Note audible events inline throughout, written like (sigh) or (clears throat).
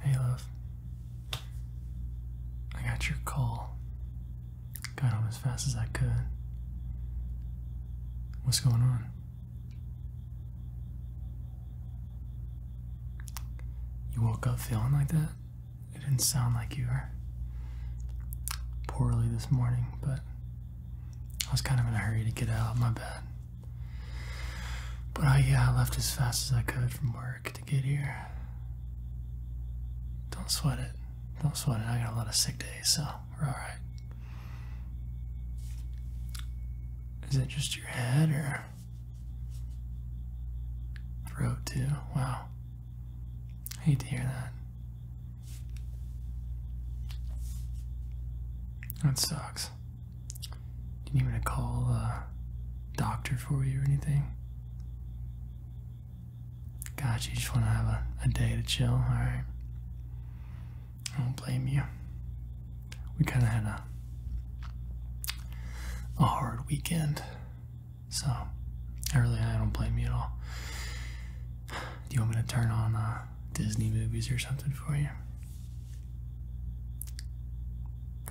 Hey, love. I got your call. Got home as fast as I could. What's going on? You woke up feeling like that? It didn't sound like you were poorly this morning, but I was kind of in a hurry to get out of my bed. But I, uh, yeah, I left as fast as I could from work to get here. Don't sweat it. Don't sweat it. I got a lot of sick days, so we're alright. Is it just your head or throat too? Wow. I hate to hear that. That sucks. Do Didn't to call a doctor for you or anything. Gotcha, you just want to have a, a day to chill, alright? I don't blame you. We kind of had a, a hard weekend, so I really I don't blame you at all. Do you want me to turn on uh, Disney movies or something for you?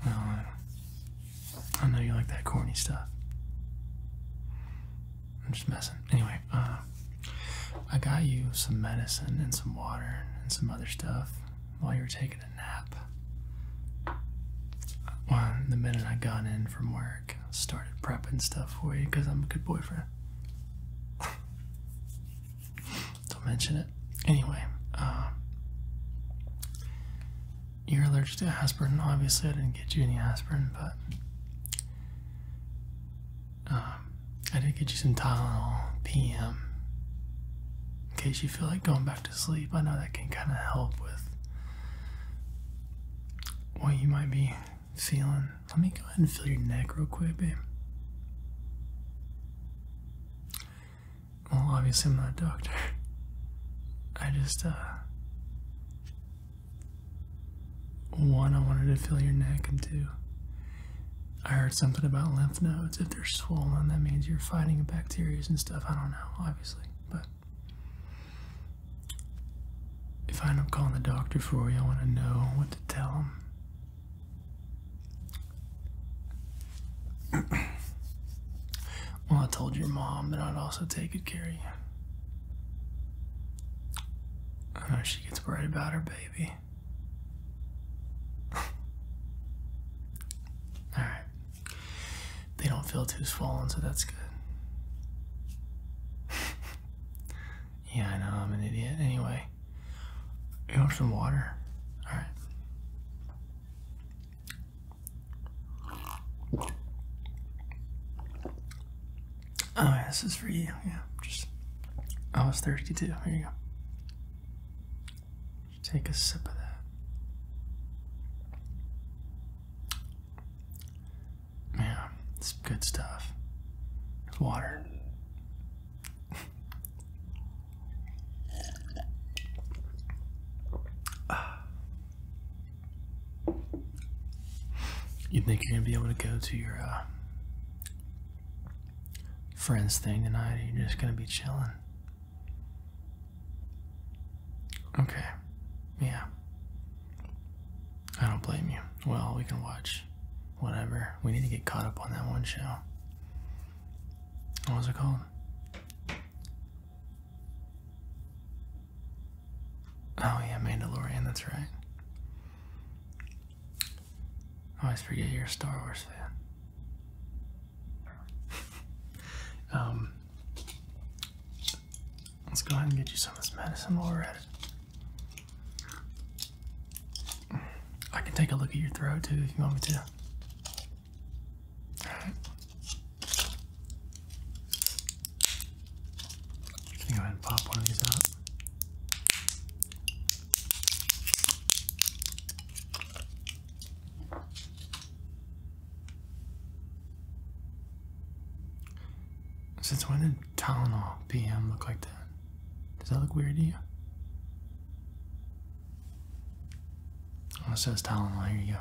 Oh, I, know you like that corny stuff. I'm just messing. Anyway, uh, I got you some medicine and some water and some other stuff while you were taking a nap. the minute I got in from work, I started prepping stuff for you because I'm a good boyfriend. Don't mention it. Anyway, um, you're allergic to aspirin. Obviously, I didn't get you any aspirin, but um, I did get you some Tylenol PM in case you feel like going back to sleep. I know that can kind of help with what you might be feeling. Let me go ahead and feel your neck real quick, babe. Well, obviously, I'm not a doctor. I just, uh. One, I wanted to feel your neck, and two, I heard something about lymph nodes. If they're swollen, that means you're fighting bacteria and stuff. I don't know, obviously, but if I end up calling the doctor for you, I want to know what to tell him. (coughs) well, I told your mom that I'd also take good care of you. I know she gets worried about her baby. (laughs) Alright. They don't feel too swollen, so that's good. (laughs) yeah, I know, I'm an idiot. Anyway, you want some water? Alright. Oh, this is for you. Yeah, just oh, I was thirsty too. Here you go. Take a sip of that. Yeah, it's good stuff. Water. (sighs) you think you're gonna be able to go to your uh, friends thing tonight? Or you're just gonna be chilling. Okay. Yeah. I don't blame you. Well, we can watch whatever. We need to get caught up on that one show. What was it called? Oh yeah, Mandalorian. That's right. I always forget you're a Star Wars fan. (laughs) um, let's go ahead and get you some of this medicine while we're at it. I can take a look at your throat too if you want me to. All right. Let go ahead and pop one of these out. Since when did Tylenol PM look like that? Does that look weird to you? Well, it says Tylenol. Here you go.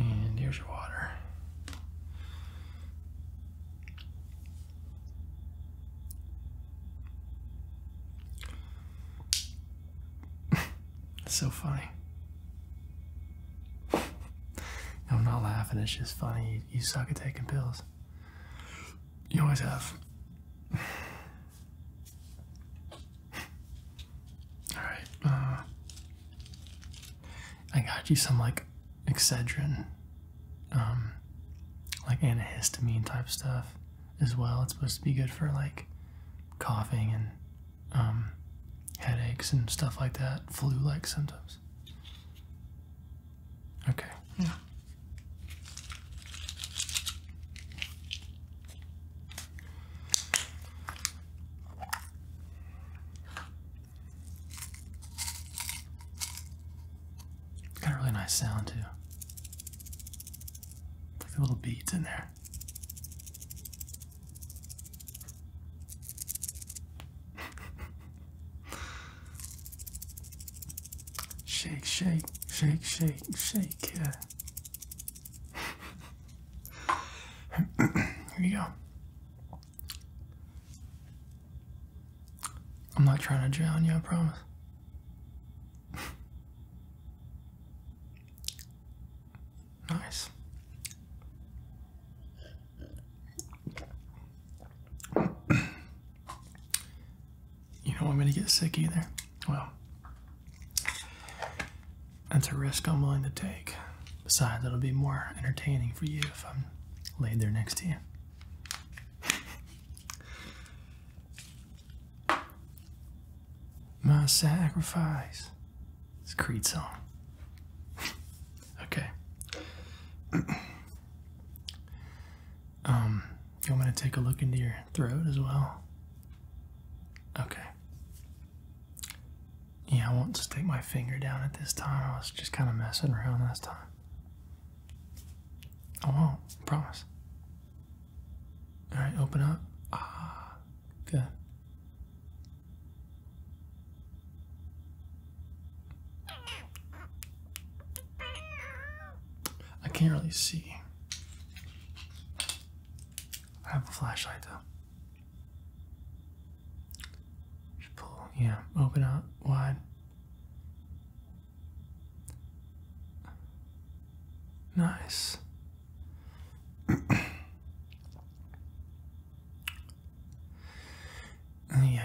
And here's your water. (laughs) it's so funny. (laughs) I'm not laughing, it's just funny. you suck at taking pills. You always have. All right. Uh, I got you some like Excedrin, um, like antihistamine type stuff as well. It's supposed to be good for like coughing and um, headaches and stuff like that, flu-like symptoms. Okay. Yeah. Got a really nice sound too. Like the little beads in there. (laughs) Shake, shake, shake, shake, shake. Yeah. Here you go. I'm not trying to drown you, I promise. nice you don't want me to get sick either. Well, that's a risk I'm willing to take. Besides, it'll be more entertaining for you if I'm laid there next to you. My sacrifice. It's a Creed song. (laughs) okay. (clears throat) Um, you want me to take a look into your throat as well? Okay. Yeah, I won't stick my finger down at this time. I was just kind of messing around last time. I won't, promise. Alright, open up. Ah, good. I can't really see. I have a flashlight though. Should pull, yeah, open up wide. Nice. (coughs) yeah,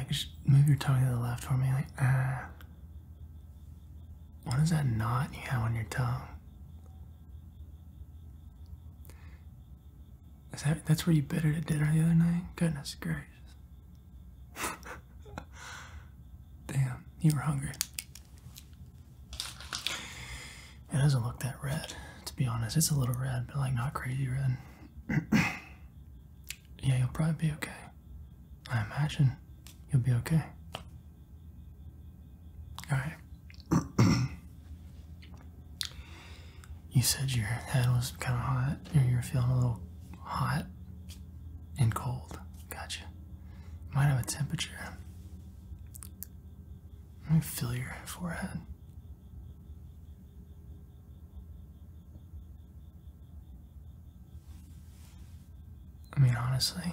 just move your tongue to the left for me, like ah. What is that knot you have on your tongue? Is that that's where you bit it at dinner the other night? Goodness gracious. (laughs) Damn, you were hungry. It doesn't look that red, to be honest. It's a little red, but like not crazy red. (clears throat) Yeah, you'll probably be okay. I imagine you'll be okay. Alright. (clears throat) you said your head was kind of hot, and you are feeling a little hot and cold. Gotcha. Might have a temperature. Let me feel your forehead. I mean, honestly,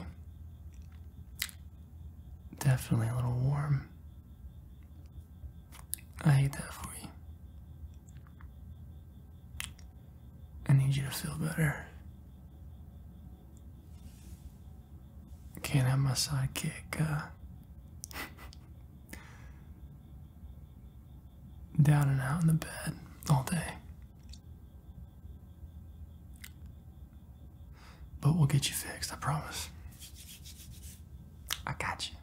definitely a little warm. I hate that for you. I need you to feel better. Can't have my sidekick, uh. (laughs) down and out in the bed all day. But we'll get you fixed, I promise. I got you.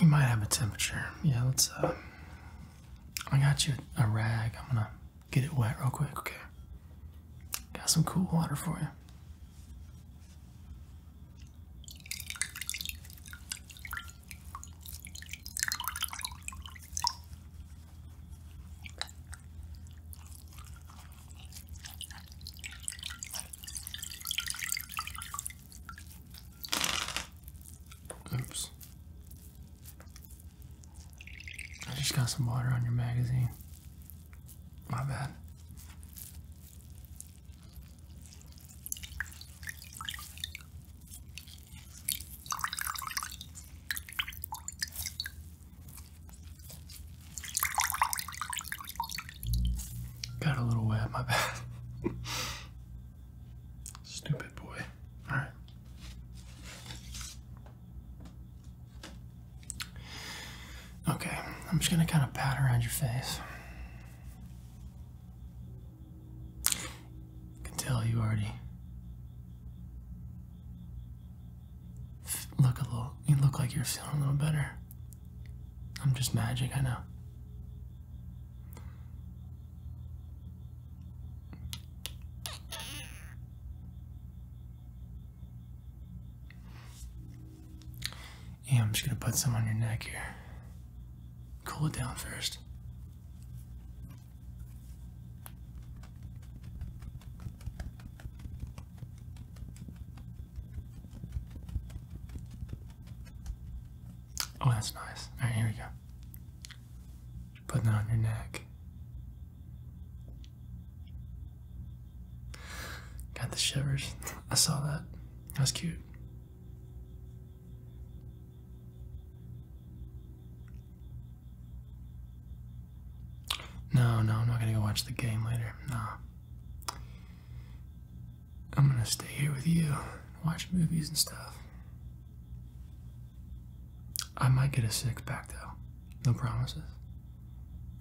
You might have a temperature. Yeah, let's, uh, I got you a rag. I'm gonna get it wet real quick, okay? Got some cool water for you. Oops. I just got some water on your magazine. My bad. Got a little wet, my bad. (laughs) Stupid boy. All right. Okay, I'm just gonna kind of pat around your face. I can tell you already look a little. You look like you're feeling a little better. I'm just magic, I know. Yeah, I'm just gonna put some on your neck here. Cool it down first. Oh, that's nice. All right, here we go. putting that on your neck. Got the shivers. I saw that. That was cute. No, no, I'm not gonna go watch the game later. No. I'm gonna stay here with you, watch movies and stuff. I might get a six pack though. No promises.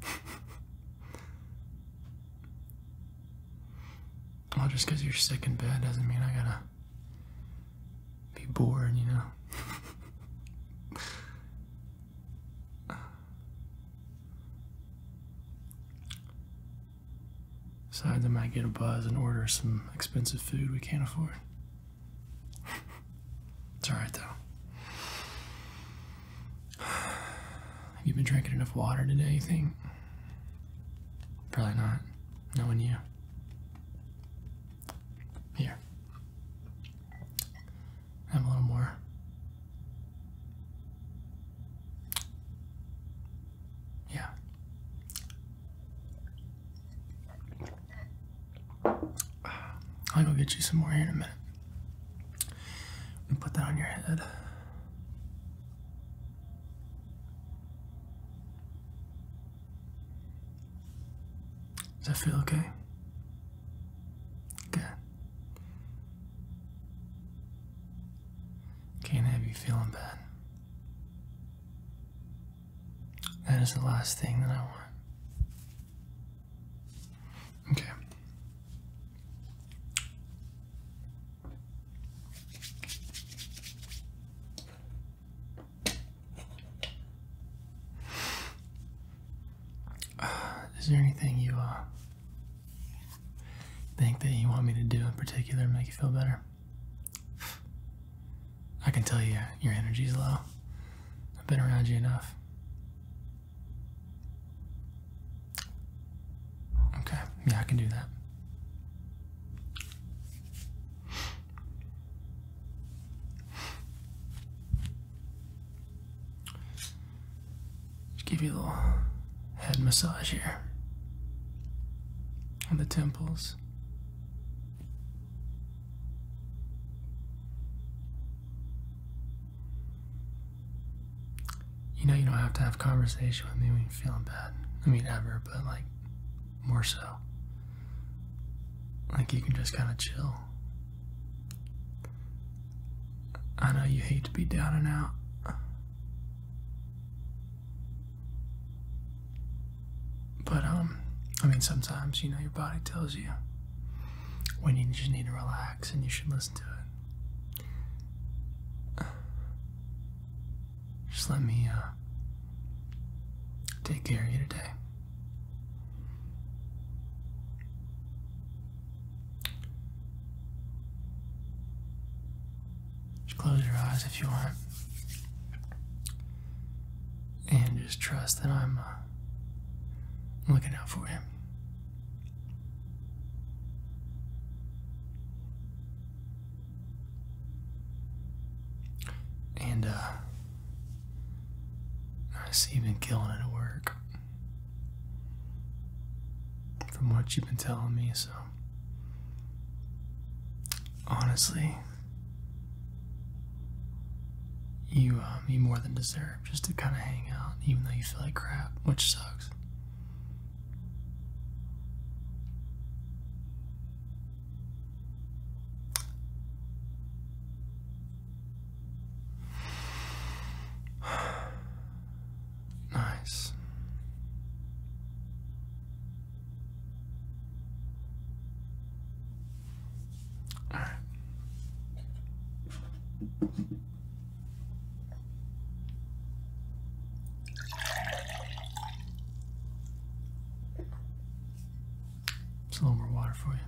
(laughs) Well, just because you're sick in bed doesn't mean I gotta be bored, you know? Besides, I might get a buzz and order some expensive food we can't afford. it's alright, though. Have you been drinking enough water today, you think? Probably not, knowing you. Here. Have a little more. Yeah. I'll go get you some more here in a minute and put that on your head. Does that feel okay? Okay. Can't have you feeling bad. That is the last thing that I want. Okay. (sighs) is there anything you uh, think that you want me to do in particular to make you feel better? I can tell you your energy's low. I've been around you enough. Okay, yeah, I can do that. Just give you a little head massage here on the temples. You know, you don't have to have conversation with me when you're feeling bad. I mean, ever, but like, more so. Like, you can just kind of chill. I know you hate to be down and out. But, um, I mean, sometimes, you know, your body tells you when you just need to relax and you should listen to it. Just let me uh, take care of you today. Just close your eyes if you want. And just trust that I'm uh, looking out for you. And, uh, I see you've been killing it at work. From what you've been telling me, so. Honestly, you, um, uh, you more than deserve just to kind of hang out, even though you feel like crap, which sucks. (sighs) nice. It's a little more water for you.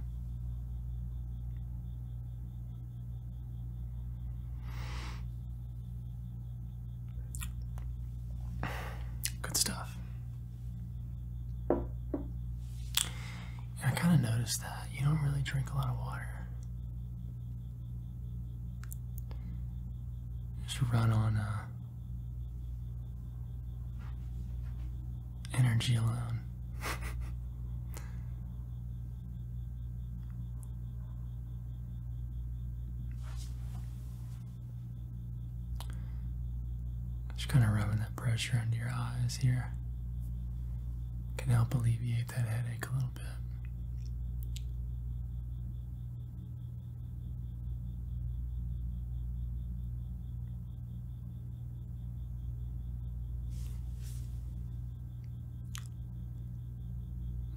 Good stuff. I kind of noticed that you don't really drink a lot of water. Just run on uh, energy alone. (laughs) Just kind of rubbing pressure under your eyes here can help alleviate that headache a little bit.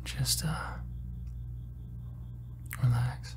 Just uh relax.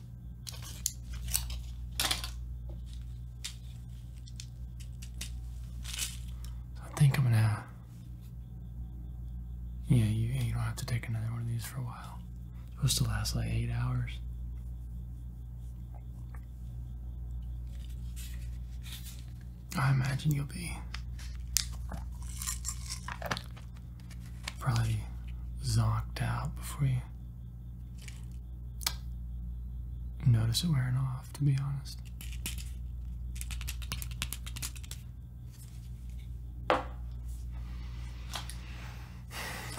I think I'm gonna. Yeah, you, don't have to take another one of these for a while. It's supposed to last like eight hours. I imagine you'll be probably zonked out before you notice it wearing off, to be honest.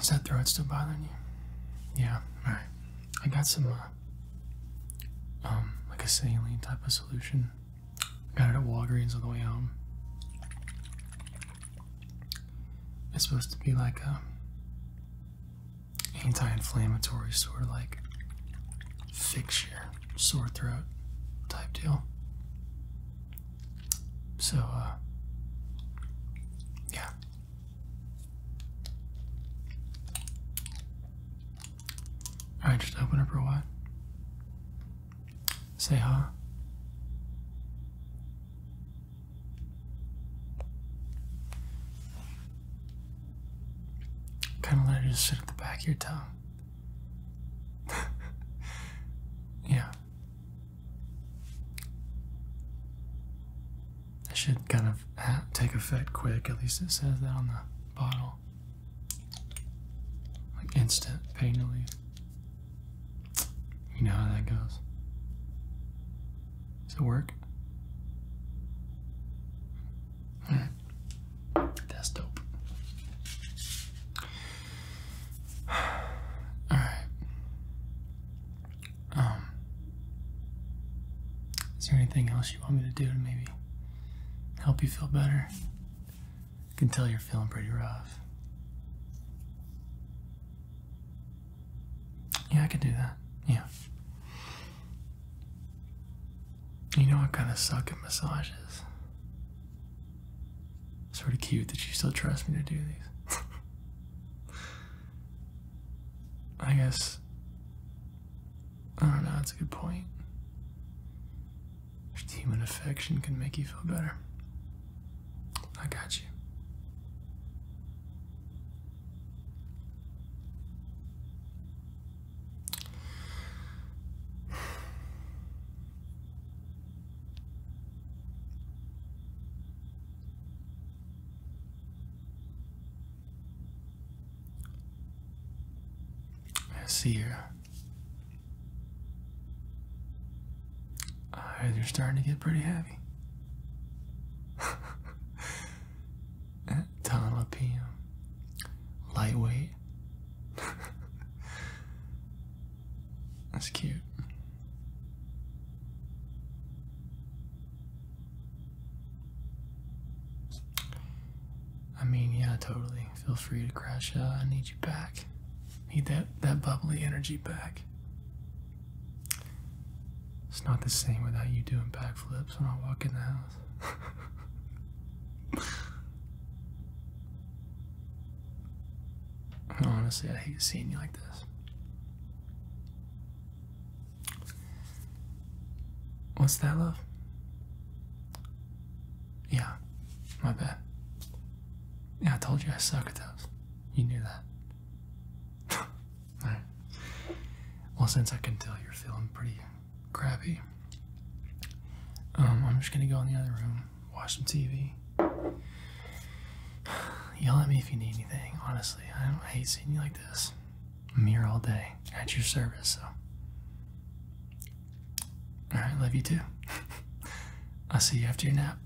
Is that throat still bothering you? Yeah, alright. I got some, uh, um, like a saline type of solution. got it at Walgreens on the way home. It's supposed to be like a anti-inflammatory sort of like fix your sore throat type deal. So, uh, yeah. Alright, just open up a while. Say hi. Kind of let it just sit at the back of your tongue. (laughs) yeah. It should kind of uh, take effect quick, at least it says that on the bottle. Like instant pain relief. You know how that goes. Does it work? That's dope. Alright. Um Is there anything else you want me to do to maybe help you feel better? I can tell you're feeling pretty rough. Yeah, I could do that. Yeah. You know I kind of suck at massages. Sort of cute that you still trust me to do these. (laughs) I guess. I don't know, that's a good point. If human affection can make you feel better. I got you. I see you. Uh, you're starting to get pretty heavy. Dollar (laughs) PM. Lightweight. (laughs) That's cute. I mean, yeah, totally. Feel free to crash I need you back. Need that that bubbly energy back. It's not the same without you doing backflips when I walk in the house. (laughs) Honestly, I hate seeing you like this. What's that, love? Yeah, my bad. Yeah, I told you I suck at those. You knew that right. (laughs) Well, since I can tell you're feeling pretty crappy, um, I'm just gonna go in the other room, watch some TV. (sighs) Yell at me if you need anything. Honestly, I, don't hate seeing you like this. I'm here all day at your service, so. Alright, love you too. (laughs) I'll see you after your nap.